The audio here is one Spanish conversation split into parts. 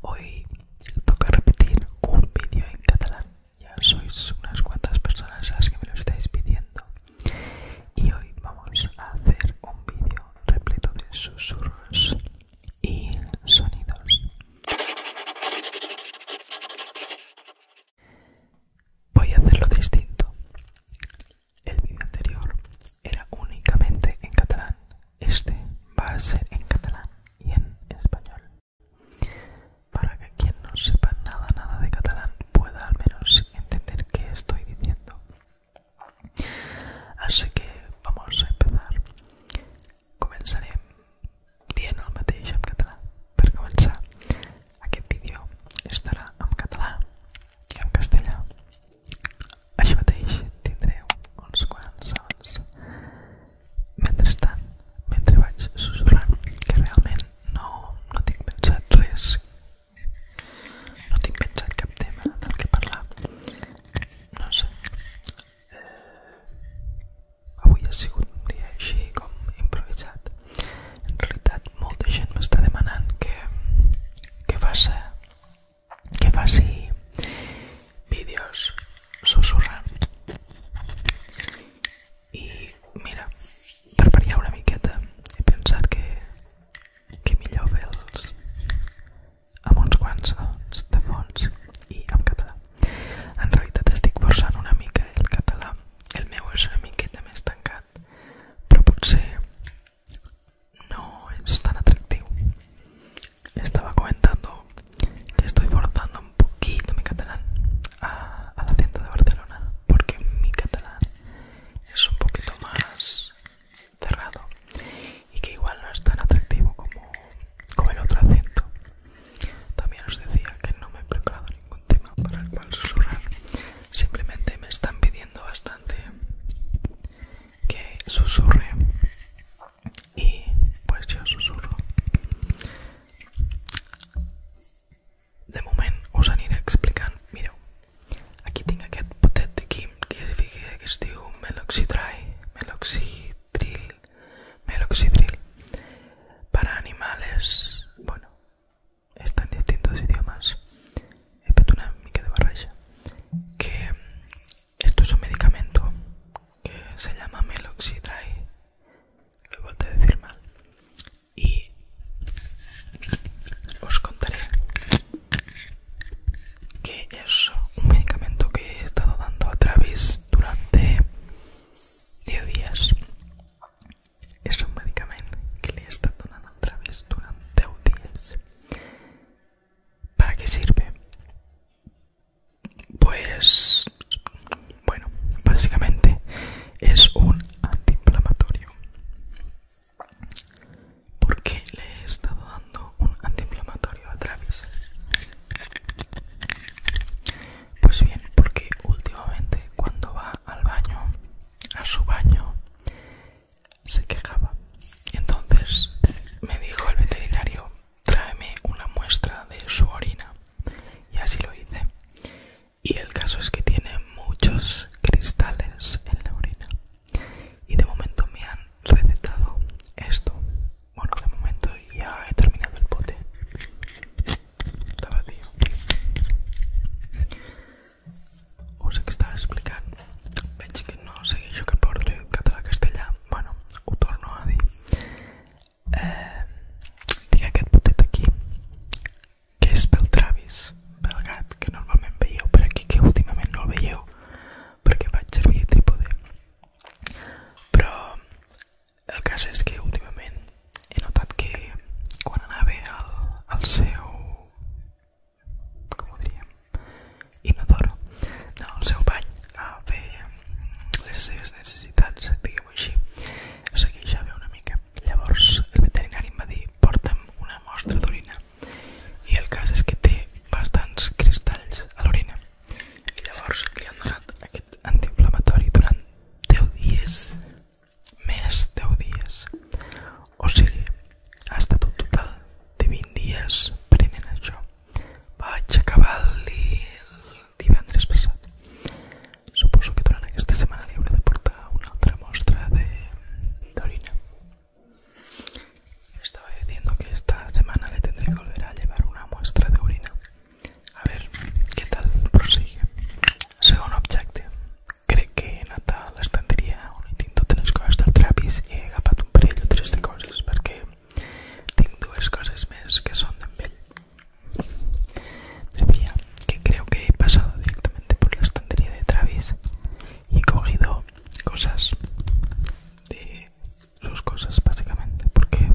Hoy toca repetir un vídeo en catalán. Ya sois unas cuantas personas las que me lo estáis pidiendo. Y hoy vamos a hacer un vídeo repleto de susurros y sonidos. Voy a hacerlo distinto. El vídeo anterior era únicamente en catalán este va a ser en catalán y en español. Para que quien no sepa nada, nada de catalán pueda al menos entender qué estoy diciendo. Así que vamos a empezar. Comenzaré dient al mateix en Catalán Para comenzar, aquest vídeo estará en Catalán y en castellà Així mateix tindreu uns quants segons mentrestant, mentre vaig susurrant, que realment no, no tinc pensat res, no tinc pensat cap tema del que parlar, no sé. Eh, avui ha sigut un dia així com improvisat. En realitat molta gent m'està demanant que, que faça que faci vídeos susurrant i mira, per variar una miqueta he pensat que, que millor fer-los amb uns quants sons de fons i en català. En realitat estic forçant una mica el català, el meu és una miqueta més tancat, però potser no es tan atractivo. Estaba comentando que estoy forzando un poquito mi catalán al acento de Barcelona, porque mi catalán es un poquito más cerrado y que igual no es tan atractivo como, como el otro acento. También os decía que no me he preparado ningún tema para el cual susurrar, simplemente me están pidiendo bastante que susurre y pues yo susurro de moment os a explicar. mireu aquí tinc aquest potet de que es, que es este meloxidril para animales bueno están distintos idiomas he que mica de que esto es un medicamento que se llama Meloxidry. Lo he vuelto a decir mal. Y os contaré que es un medicamento que he estado dando a Travis durante 10 días. Es un medicamento que le he estado dando a Travis durante 10 días. ¿Para qué sirve? Pues bueno, básicamente es un antiinflamatorio. Porque le he estado dando un antiinflamatorio a Travis. Pues bien, porque últimamente cuando va al baño, a su baño, se quejaba. y Entonces me dijo el veterinario, tráeme una muestra de su orina. Y así lo hice. Y el caso es que tiene muchos cristales en la orina. Y de momento me han recetado esto. Bueno, de momento ya he terminado el bote. us estava explicant veig que no segueixo cap ordre català-castellà bueno, ho torno a dir eh, tinc aquest botet aquí que és pel Travis pel gat que normalment veieu per aquí que últimament no el veieu perquè vaig servir trípode però el cas és que últimament he notat que quan anava al, al seu com ho diríem, inodoro del seu bany a fer mm, les seves necessitats, diguem-ho així, se queixava una mica. Llavors el veterinari em va dir porta'm una mostra d'orina i el cas és que té bastants cristalls a l'orina i llavors li han donat aquest antiinflamatori durant 10 dies més 10 dies o sigue hasta tu total de 20 días, dies yo, això. cabal acabar el andrés pasado. supuso que tendrán esta semana le de deportar una otra muestra de orina. Estaba diciendo que esta semana le tendré que volver a llevar una muestra de orina. A ver qué tal prosigue. según objective. cree que nata la estantería, un intento tres cosas Travis y he agapado un tres de cosas Porque tengo dos cosas más que son de Me Decía que creo que he pasado directamente por la estantería de Travis y he cogido cosas de sus cosas básicamente porque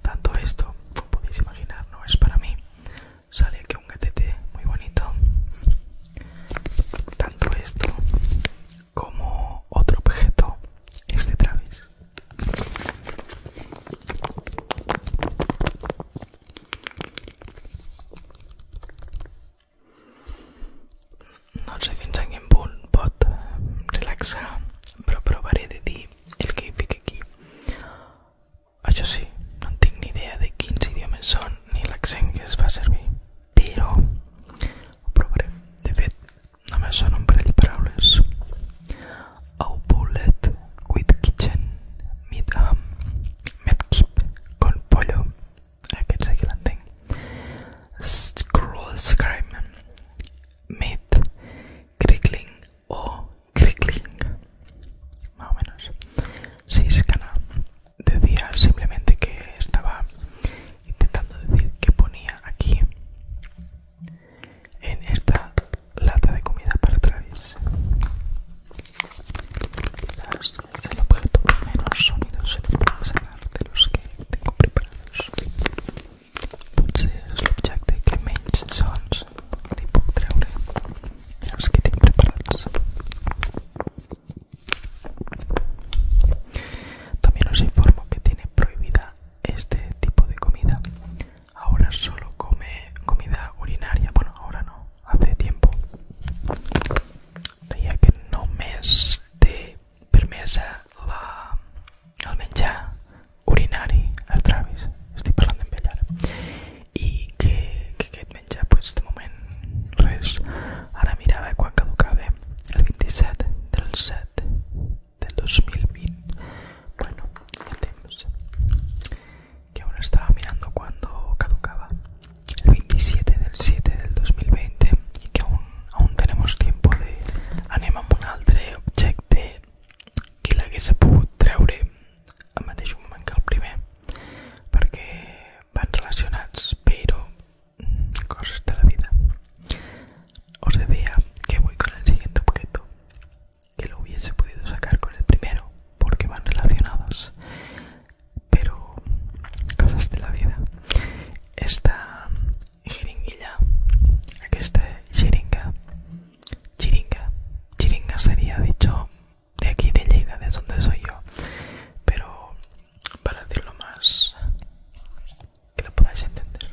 tanto esto, como podéis imaginar, no es para mí. Sale que un gatete muy bonito tanto esto como otro objeto este Travis. No sé en Bull, bot relaxa, pero probaré de ti el que pique aquí. Ah, yo sí, no tengo ni idea de quiénes idiomas son ni la que es va a servir. Pero, no me de un par de palabras a bullet with kitchen meat um, Keep con pollo que se que l'entenc scroll scream meat crickling o crickling más o menos Seis decía simplemente que estaba intentando decir que ponía aquí en esta lata de comida para Travis. Quizás el objeto con menos sonido se lo puedo sacar de los que tengo preparados. Potser és l'objecte que menys sons li puc treure los que tengo preparados también os informo que tiene prohibida este tipo de comida. Ahora solo come comida urinaria. Bueno, ahora no, hace tiempo. Día que no me esté permesa la, almenja urinaria urinari al Travis. estoy hablando en ell i que, que aquest menjar pues, de moment res ara mirava quan caducava el 27 del 7 del 2020 bueno, el temps que ahora estaba mirando cuando caducaba el 27 del 7 del 2020 y que aún, aún tenemos tiempo de anem amb un altre objecte que l'hagués pogut treure al mateix moment que el primer perquè van relacionados, pero mm, cosas de la vida. Os decía que voy con el siguiente objeto, que lo hubiese podido sacar con el primero, porque van relacionados, pero cosas de la vida. Esta jeringuilla, está jeringa, jeringa, jeringa sería dicho de aquí de Lleida, de donde soy yo. Pero para decirlo más que lo podáis entender.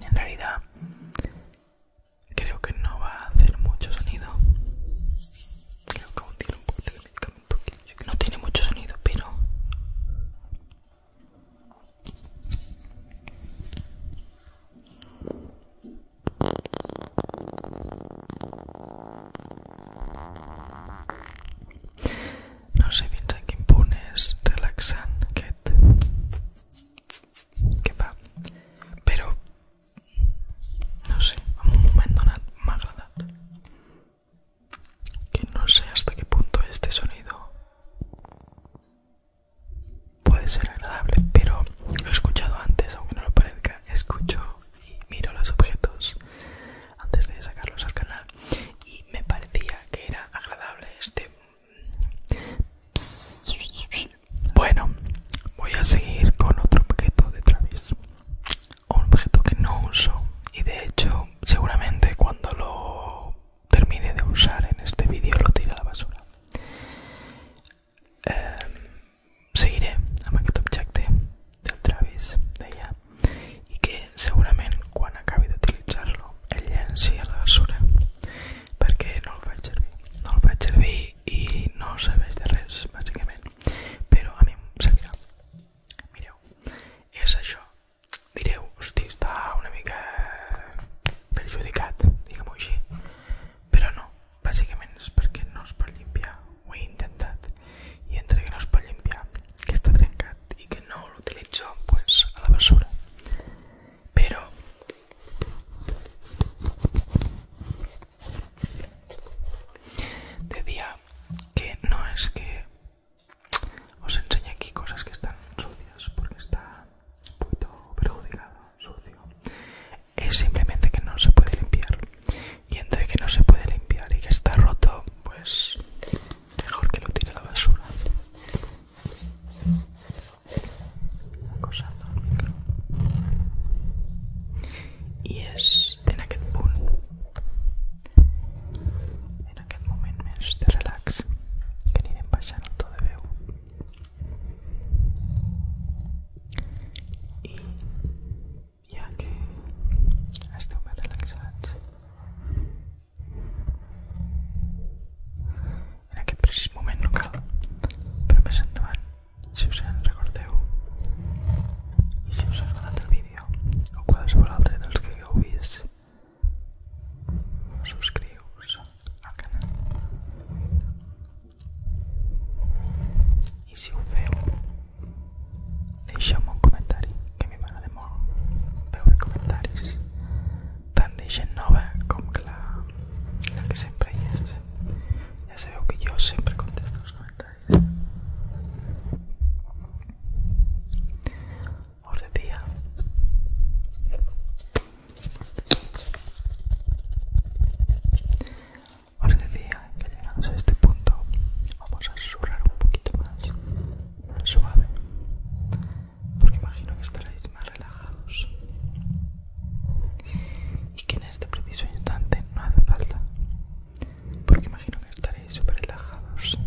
En realidad creo que no va a hacer mucho sonido. un No tiene mucho sonido, pero no sé fins que impunes relaxan, que va, pero no sé, vamos un momento nada más agradable. Que no sé hasta qué punto este sonido puede ser agradable, pero lo he escuchado antes, aunque no lo parezca, escucho y miro los objetos antes de sacarlos al canal y me parecía que era agradable este... Bueno, voy a seguir con otro objeto de Travis. Un objeto que no uso y de hecho seguramente cuando lo termine de usar en este vídeo lo tira a la basura eh, seguiré amb aquest objecte del Travis d'allà i que segurament quan acabi d'utilitzar-lo el llenci a la basura perquè no el faig servir no el faig servir i no serveix de res bàsicament però a mi em servirà mireu, és això direu, hosti, està una mica perjudicat, diguem-ho així, però no, bàsicament és perquè no es pot limpiar, ho he intentat, i entre que no es pot limpiar, que està trencat i que no l'utilitzo, doncs, pues, a la basura. Però, de dia que no és que os enseño aquí cosas que están sucias porque está un poquito perjudicado, sucio. Es simplemente que no se puede limpiar. Y entre que no se puede limpiar y que está roto, pues mejor que lo tire a la basura. Y es en aquel punt. en aquest moment més de relax que anirem baixant el to de veu i ja que esteu ben relaxats en aquest precís moment no cal però més endavant si us en recordeu i si us ha agradat el vídeo o qualsevol altre dels que heu vist Subscrius al canal. I si ho feu, deixeu-me un comentari, que a mi m'agrada molt veure comentaris, tant de gent nova com que la, la que sempre hi és. Ja sabeu que jo sempre contesto els comentaris. os decía. Os decía que llegados a este punto vamos a susurrar un poquito más suave, porque imagino que estaréis más relajados y que en este preciso instante no hace falta, porque imagino que estaréis súper relajados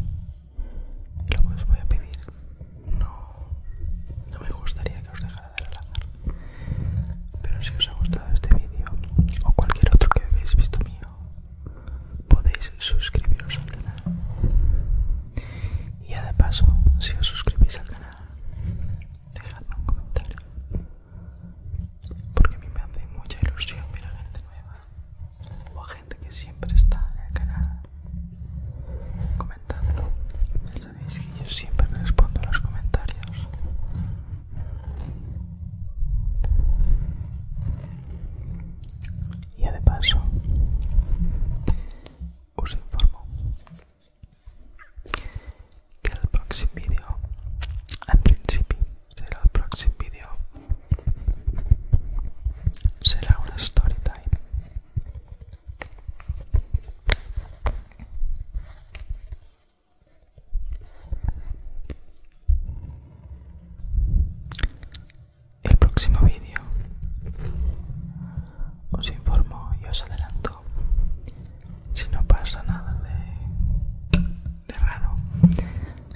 y lo que os voy a pedir, no, no me gustaría que os dejara de hablar. Pero si os ha gustado este vídeo o cualquier otro que habéis visto mío, podéis suscribiros al canal. Y ya de paso, si os suscribís al canal, dejadme un comentario. Porque a mí me hace mucha ilusión ver a gente nueva o a gente que siempre está en el canal comentando. Ya sabéis que yo siempre respondo a los comentarios. Y de paso, os informo que el próximo vídeo, en principio, será el próximo vídeo será una story time. El próximo vídeo os informo y os adelanto si no pasa nada de, raro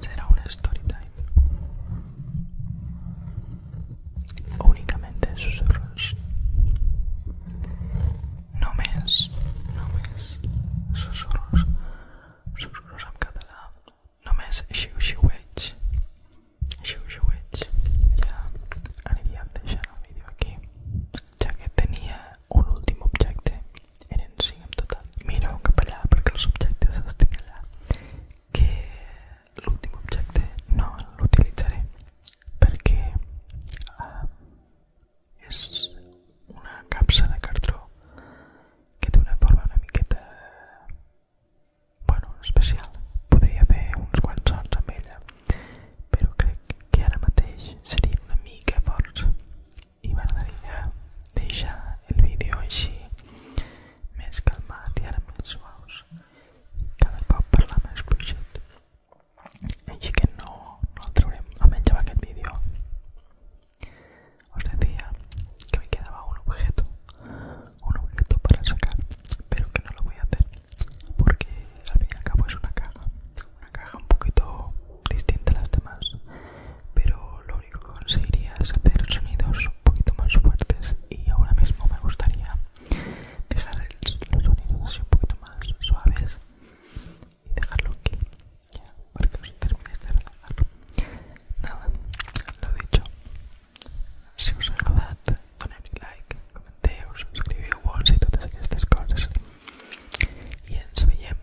será una story time únicamente susurros. No me no me susurros, susurros en no Només xiu-xiueig, xiu ya, ya aniríem deixant el vídeo aquí, ya que tenía un último objeto, tenen 5 en total. Mireu cap allà perquè els objectes estic allà, que l'últim objecte no l'utilitzaré perquè ah, eh, és una capsa de cartró que té una forma una miqueta bueno, especial. Podria fer uns quants sons amb ella, però crec que ara mateix serien una mica forts y i que ya el vídeo així calmado, y ahora en més suaus cada la más más y si que no, no traeré, a almenys que el vídeo os decía que me quedaba un objeto un objeto para sacar pero que no lo voy a hacer porque al fin y al cabo es una caja una caja un poquito distinta a las demás pero lo único que conseguiría es hacer sonidos un poquito más fuertes y ahora mismo me gustaría dejar los sonidos así un poquito más suaves y dejarlo aquí ya, para que os terminéis de relajar nada, lo dicho si os ha gustado, ponedme like, comenteu, subscriviu y todas estas cosas Y en su bien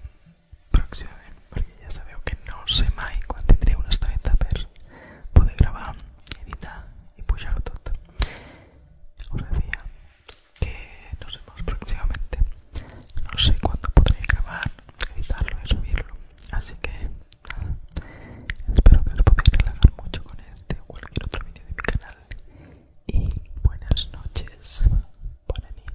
próximamente, porque ya sabéis que no sé más cuándo tendré una 30 per poder grabar, editar y pujar todo Os decía que nos vemos próximamente. No sé cuándo podré grabar, editarlo y subirlo. Así que nada, espero que os podáis relajar mucho con este o cualquier otro vídeo de mi canal. Y buenas noches, buenas